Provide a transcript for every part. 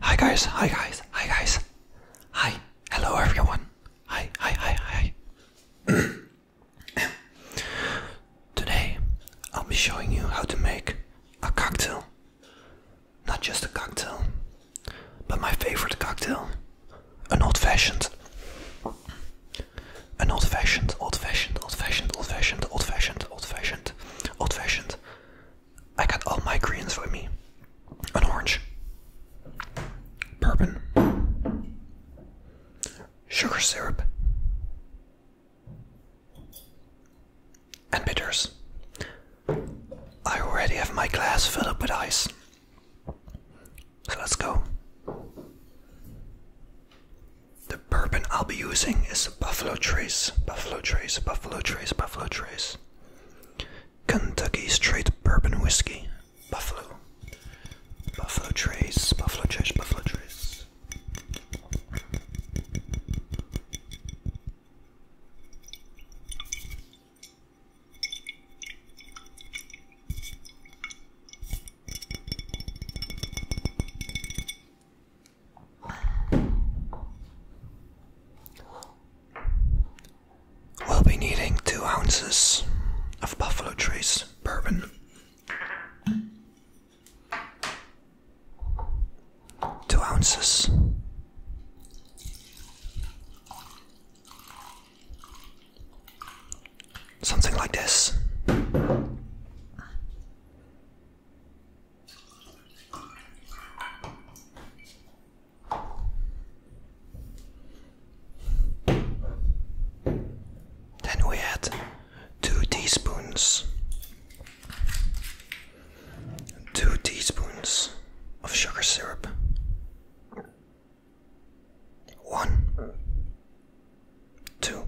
Hi guys, hi guys, hi guys. Hi, hello everyone. Hi, hi, hi, hi. Today I'll be showing you how to make a cocktail. Not just a cocktail, but my favorite cocktail. An old fashioned. An old fashioned, old fashioned, old fashioned, old fashioned, old fashioned, old fashioned, old fashioned. I got all my greens with me. An orange, bourbon, sugar syrup, and bitters. I already have my glass filled up with ice. So let's go. The bourbon I'll be using is Buffalo Trace, Buffalo Trace, Buffalo Trace, Buffalo Trace. Kentucky Straight Bourbon Whiskey, Buffalo. Buffalo Trace, Buffalo Trace, Buffalo Trace. We'll be needing two ounces of Buffalo Trace bourbon, two ounces. Something like this. Then we add two teaspoons, two teaspoons of sugar syrup, one, two,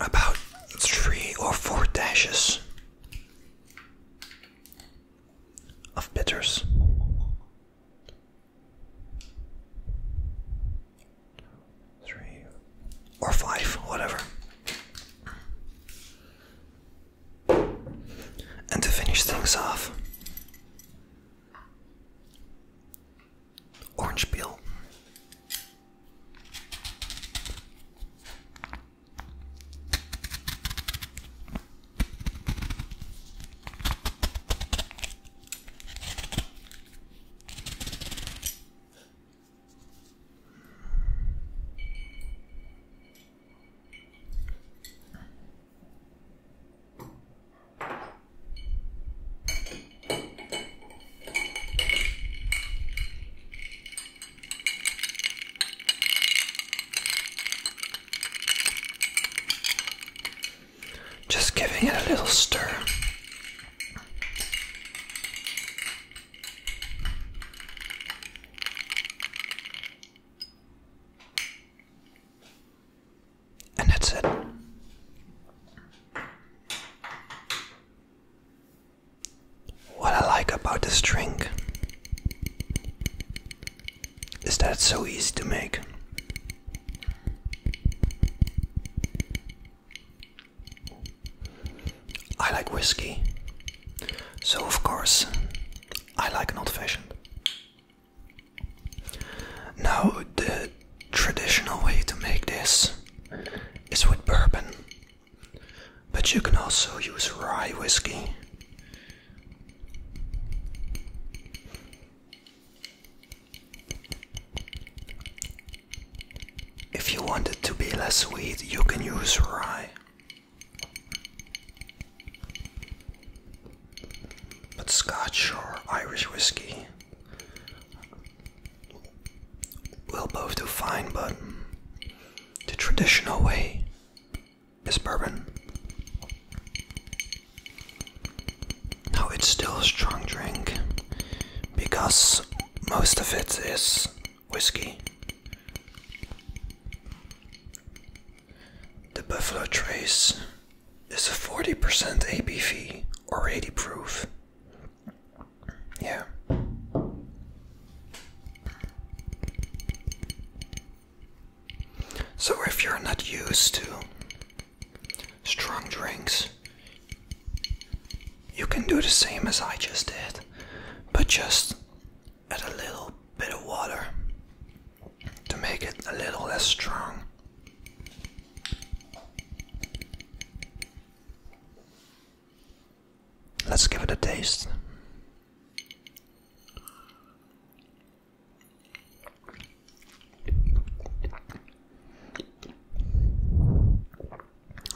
about three or four dashes of bitters. Three or five, whatever. And to finish things off, Orange peel. Just giving it a little stir. And that's it. What I like about this drink is that it's so easy to make. I like whiskey, so of course I like an old fashioned. Now, the traditional way to make this is with bourbon, but you can also use rye whiskey. If you want it to be less sweet, you can use rye. But Scotch or Irish whiskey will both do fine, but the traditional way is bourbon. Now it's still a strong drink because most of it is whiskey. The Buffalo Trace is a 40% ABV or 80 proof. Yeah. So if you're not used to strong drinks, you can do the same as I just did, but just add a little bit of water to make it a little less strong. Let's give it a taste.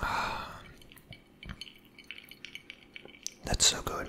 Ah. That's so good.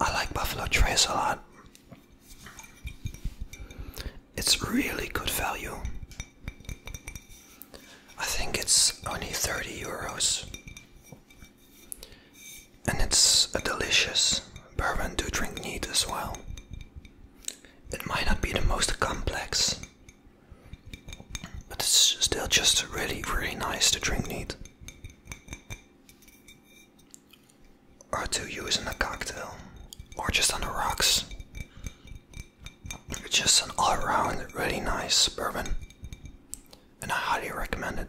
I like Buffalo Trace a lot. It's really good value. I think it's only 30 euros. And it's a delicious bourbon to drink neat as well. It might not be the most complex, but it's still just really, really nice to drink neat or to use in a cocktail, or just on the rocks. It's just an all round really nice bourbon, and I highly recommend it.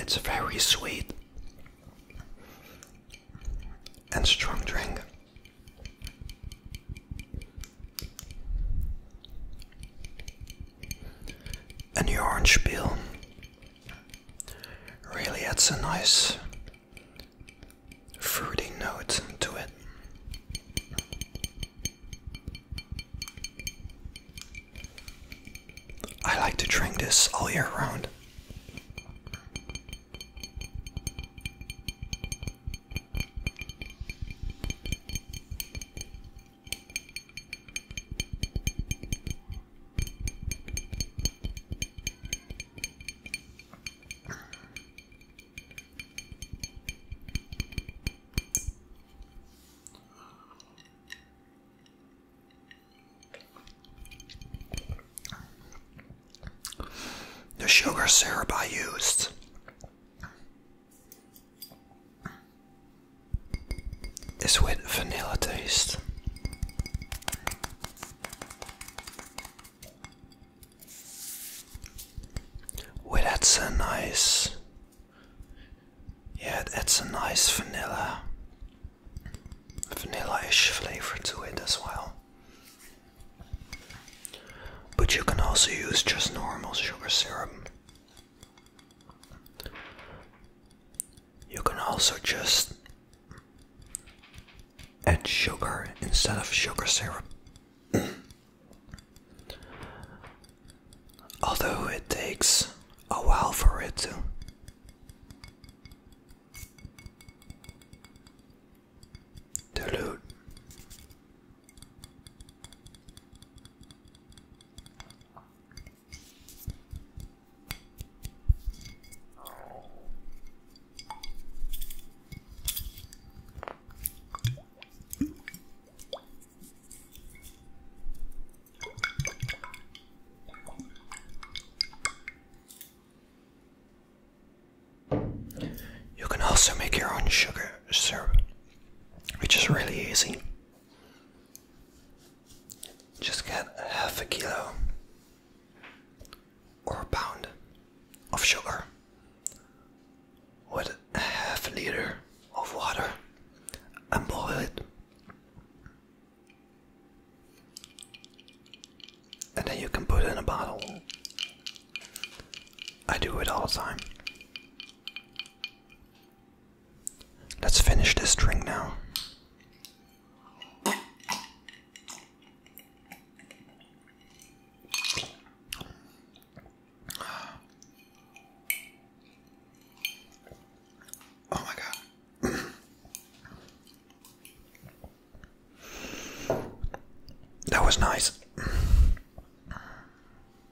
It's a very sweet and strong drink. And the orange peel really adds a nice fruity note to it. I like to drink this all year round. The sugar syrup I used it's with vanilla taste. Well, that's a nice. Yeah, that's a nice vanilla. Vanilla-ish flavor to it as well. But you can also use just normal sugar syrup you can also just add sugar instead of sugar syrup. Although it takes a while for it to. Dilute. You can also make your own sugar syrup, which is really easy. Just get half a kilo or pound of sugar with half a liter of water and boil it. And then you can put it in a bottle. I do it all the time. Let's finish this drink now. Oh my god. that was nice.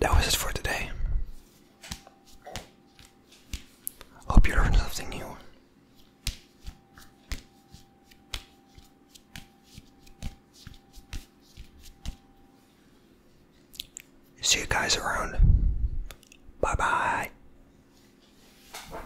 That was it for today. Hope you learned something new. See you guys around. Bye bye.